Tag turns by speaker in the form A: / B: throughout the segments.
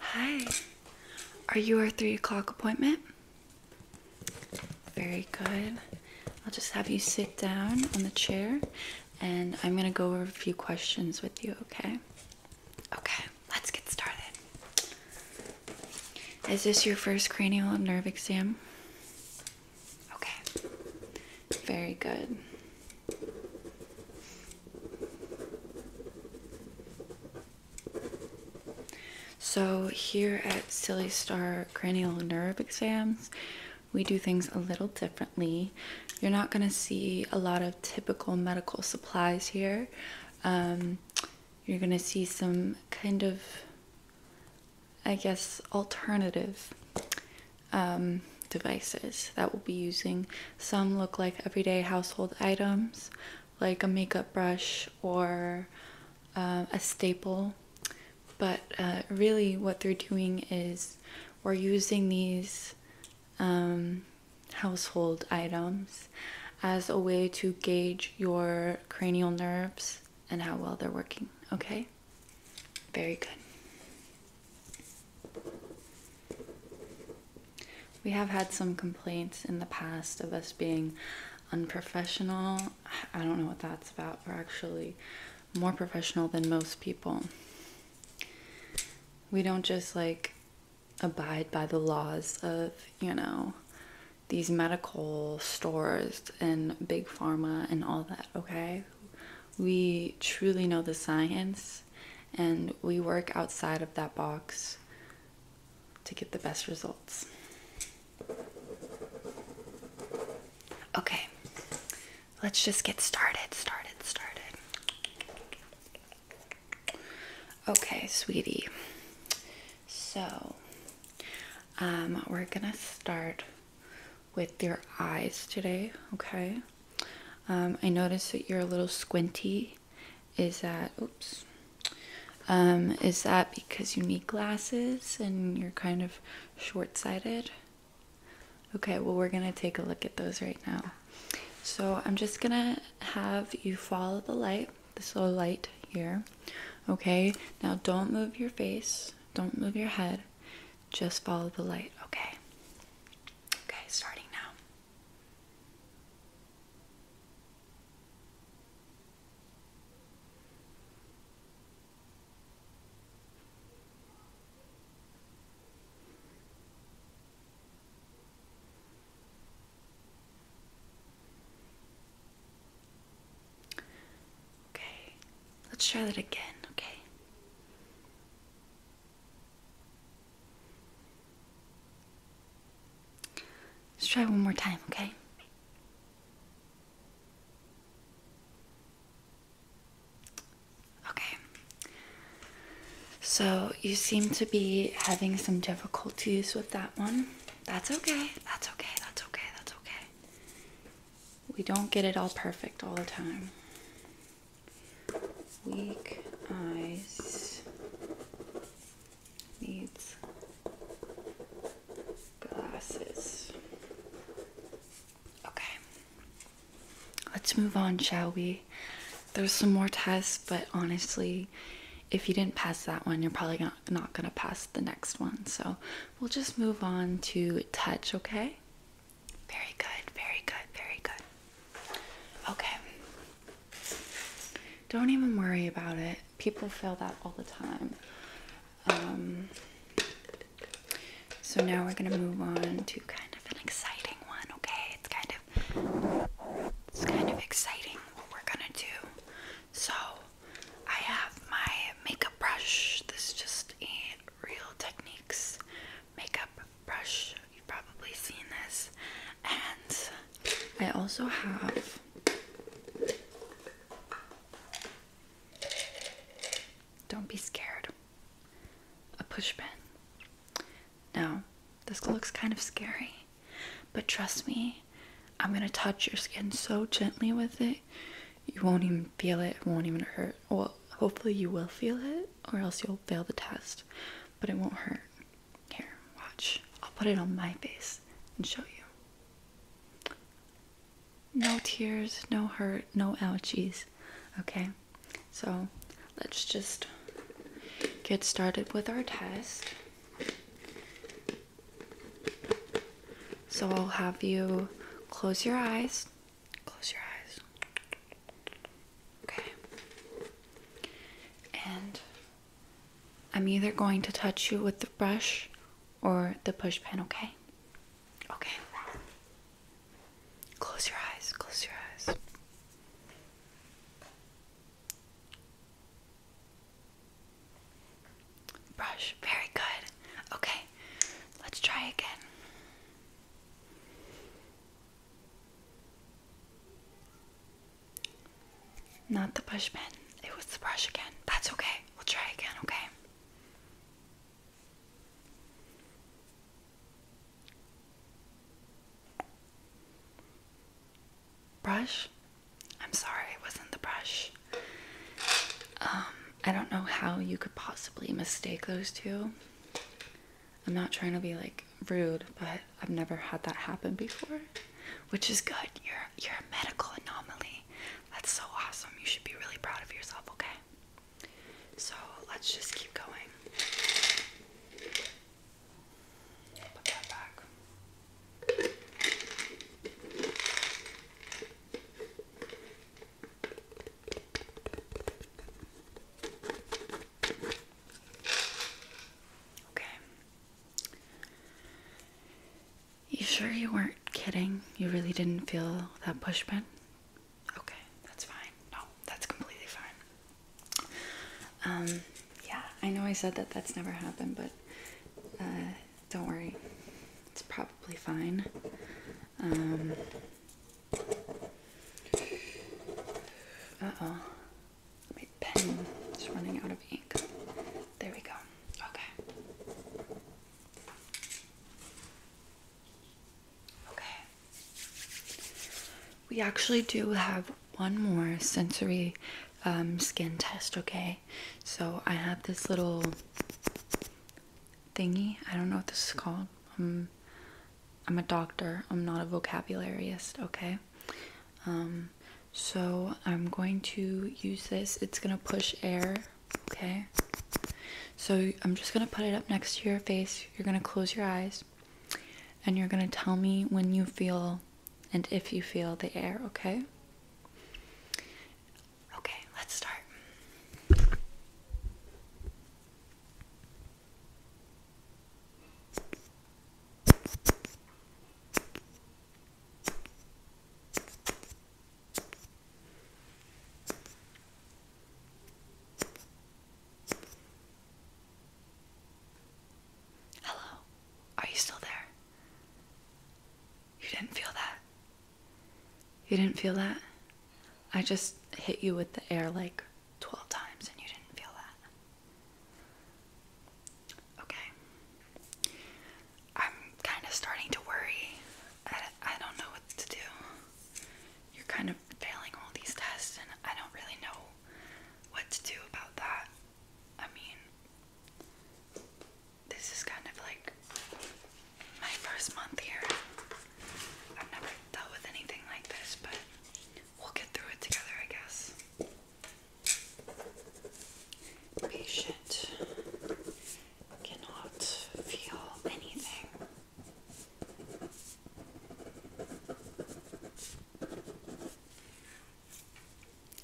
A: Hi. Are you our three o'clock appointment? Very good. I'll just have you sit down on the chair and I'm going to go over a few questions with you, okay? Okay, let's get started. Is this your first cranial nerve exam? Okay. Very good. So, here at Silly Star Cranial Nerve Exams, we do things a little differently. You're not going to see a lot of typical medical supplies here. Um, you're going to see some kind of, I guess, alternative um, devices that we'll be using. Some look like everyday household items, like a makeup brush or uh, a staple, but uh, really what they're doing is we're using these um, household items as a way to gauge your cranial nerves and how well they're working, okay? Very good. We have had some complaints in the past of us being unprofessional. I don't know what that's about. We're actually more professional than most people. We don't just like abide by the laws of, you know, these medical stores and big pharma and all that, okay? We truly know the science and we work outside of that box to get the best results. Okay, let's just get started, started, started. Okay, sweetie. So, um, we're gonna start with your eyes today, okay? Um, I notice that you're a little squinty. Is that, oops, um, is that because you need glasses and you're kind of short sighted? Okay, well, we're gonna take a look at those right now. So I'm just gonna have you follow the light, this little light here. Okay, now don't move your face, don't move your head. Just follow the light, okay? Okay, starting now. Okay, let's try that again, okay? Let's try one more time, okay? Okay. So you seem to be having some difficulties with that one. That's okay. That's okay. That's okay. That's okay we don't get it all perfect all the time. Weak eyes needs glasses. Okay. Let's move on, shall we? There's some more tests, but honestly, if you didn't pass that one, you're probably not, not going to pass the next one. So we'll just move on to touch, okay? Very good, very good, very good. Okay. Don't even worry about it. People feel that all the time. Um, so now we're going to move on to kind of an exciting one, okay? It's kind of it's kind of exciting what we're going to do. So, I have my makeup brush. This just an Real Techniques makeup brush. You've probably seen this. And I also have don't be scared. A push pin. Now, this looks kind of scary, but trust me, I'm gonna touch your skin so gently with it, you won't even feel it, it won't even hurt. Well, hopefully you will feel it, or else you'll fail the test, but it won't hurt. Here, watch. I'll put it on my face and show you. No tears, no hurt, no ouchies. Okay, so let's just get started with our test. So I'll have you close your eyes. Close your eyes. Okay. And I'm either going to touch you with the brush or the push pen, okay? Okay. Close your eyes. Close your eyes brush. Very good. Okay, let's try again. Not the push it was the brush again. That's okay. We'll try again, okay? Brush? I'm sorry, it wasn't the brush. Um, I don't know how you could possibly mistake those two. I'm not trying to be like rude, but I've never had that happen before, which is good. You're you're a medical anomaly. That's so awesome. You should be really proud of yourself, okay? So, let's just keep going. Put that back. Okay. You sure you weren't kidding? You really didn't feel that push pin? Okay, that's fine. No, that's completely fine. Um, yeah, I know I said that that's never happened, but uh, don't worry, it's probably fine. oh, my pen is running out of ink. There we go. Okay. Okay. We actually do have one more sensory um, skin test, okay? so i have this little thingy i don't know what this is called i'm a doctor i'm not a vocabularyist okay um, so i'm going to use this it's going to push air okay so i'm just going to put it up next to your face you're going to close your eyes and you're going to tell me when you feel and if you feel the air okay Okay, let's start. Hello, are you still there? You didn't feel that? You didn't feel that? I just hit you with the air like 12 times and you didn't feel that. Okay. I'm kind of starting to worry. I, don't know what to do. You're kind of failing all these tests and I don't really know what to do about that. I mean, this is kind of like my first month here. I've never dealt with anything like this, but we'll get through it together, I guess. Patient cannot feel anything.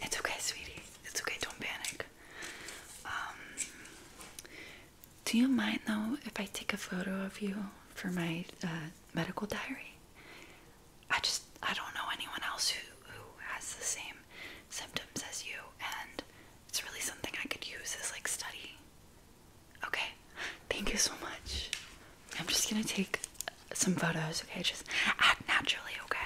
A: It's okay, sweetie. It's okay. Don't panic. Um, do you mind though if I take a photo of you for my uh, medical diary? I just I don't know anyone else who who has the same symptoms as you, and it's really something I could use as like study. Okay, thank you so much. I'm just gonna take some photos. Okay, just act naturally. Okay.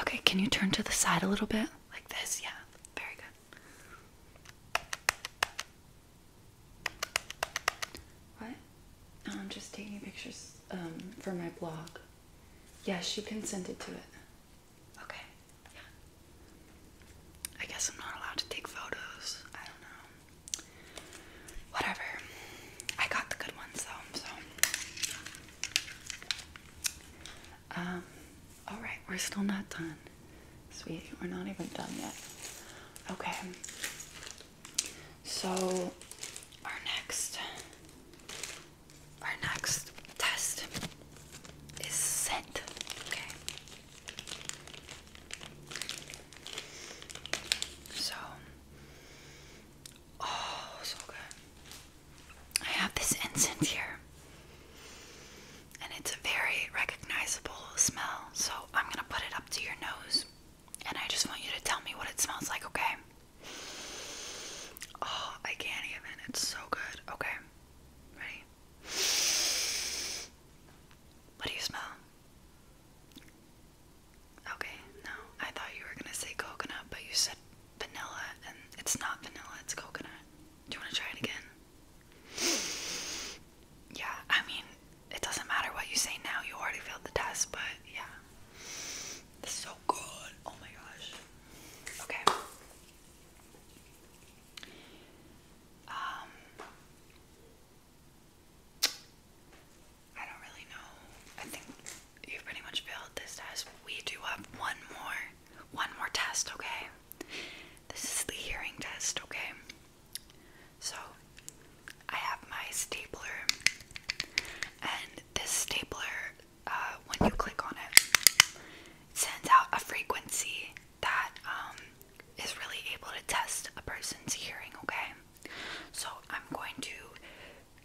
A: Okay, can you turn to the side a little bit? Like this, yeah. Very good. What? I'm just taking pictures um, for my blog. Yes, you consented to it. Okay. Yeah. I guess I'm not allowed to take photos. I don't know. Whatever. I got the good ones though, so. Um, alright, we're still not done. Sweet, we're not even done yet. Okay. So, our next our next test is scent. Okay. So, oh, so good. I have this incense here, and it's a very recognizable smell. So, I'm gonna put it up to your nose, and I just want you to tell me what it smells like, okay? Oh, I can't even. It's so good. Okay. Ready? What do you smell? Okay, no. I thought you were gonna say coconut, but you said vanilla, and it's not vanilla, it's coconut. Do you wanna try it again? Yeah, I mean, it doesn't matter what you say now, you already failed the test, but yeah. This so good. Oh my gosh. Okay. Um, I don't really know. I think you've pretty much failed this test. We do have one more, one more test, okay? This is the hearing test, okay? So, I have my stapler, and this stapler, uh, when you click on it, it sends out a frequency that um, is really able to test a person's hearing, okay? So I'm going to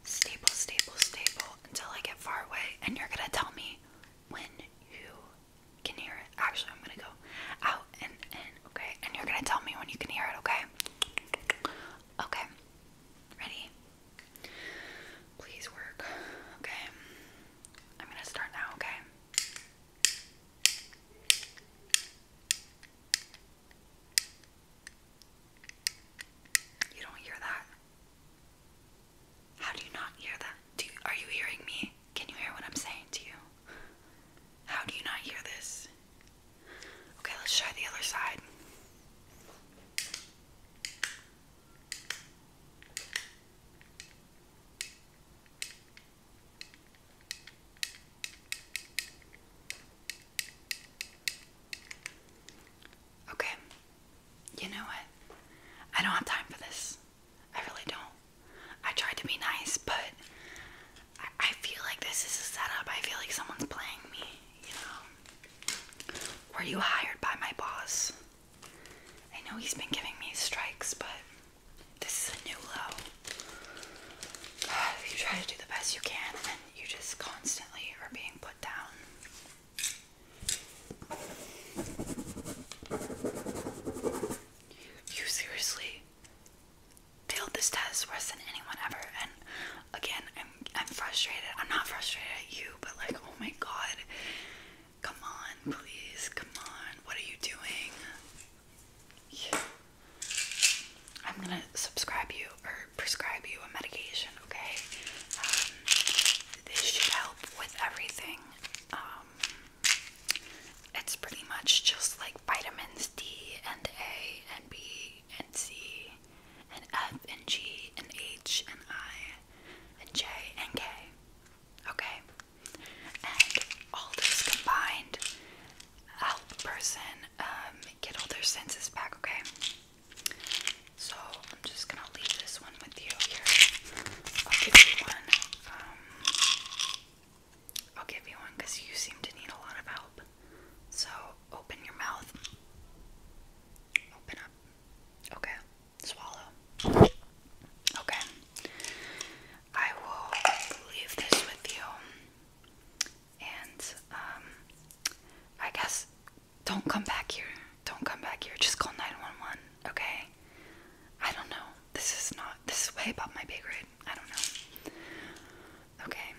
A: staple, staple, staple until I get far away, and you're gonna tell me when you can hear it. Actually, I'm gonna go out and in, okay? And you're gonna tell me when you can hear it, okay? Okay. Ready? Please work. Okay. I'm going to start now, okay? You don't hear that? How do you not hear that? Do are you hearing me? Can you hear what I'm saying to you? How do you not hear this? Okay, let's try the other side. Okay, you know what? I don't have time for this. I really don't. I tried to be nice, but I, I feel like this is a setup. I feel like someone's playing me you know, were you hired by my boss? I know he's been giving me strikes, but this is a new low. You try to do the best you can, and you just constantly are being put down. You seriously failed this test worse than anyone ever, and again, I I'm frustrated. I'm not frustrated at you, but like, oh my god. Come on, please. Come on. What are you doing? I'm gonna subscribe you or prescribe you a medication, okay? Um, this should help with everything. Um, it's pretty much just like vitamins D and A and B and C and F and G and H and I and J and K. Okay? And all this combined help a person um, get all their senses back, okay? So I'm just gonna leave this one with you here. I'll give you one. Um, I'll give you one because you seem to need a lot of help. So open your mouth. Open up. Okay. Swallow. Okay. I will leave this with you. And um I guess don't come back here. Don't come back here. Just call 911, okay? I don't know. This is not this is way above my pay grade. I don't know. Okay.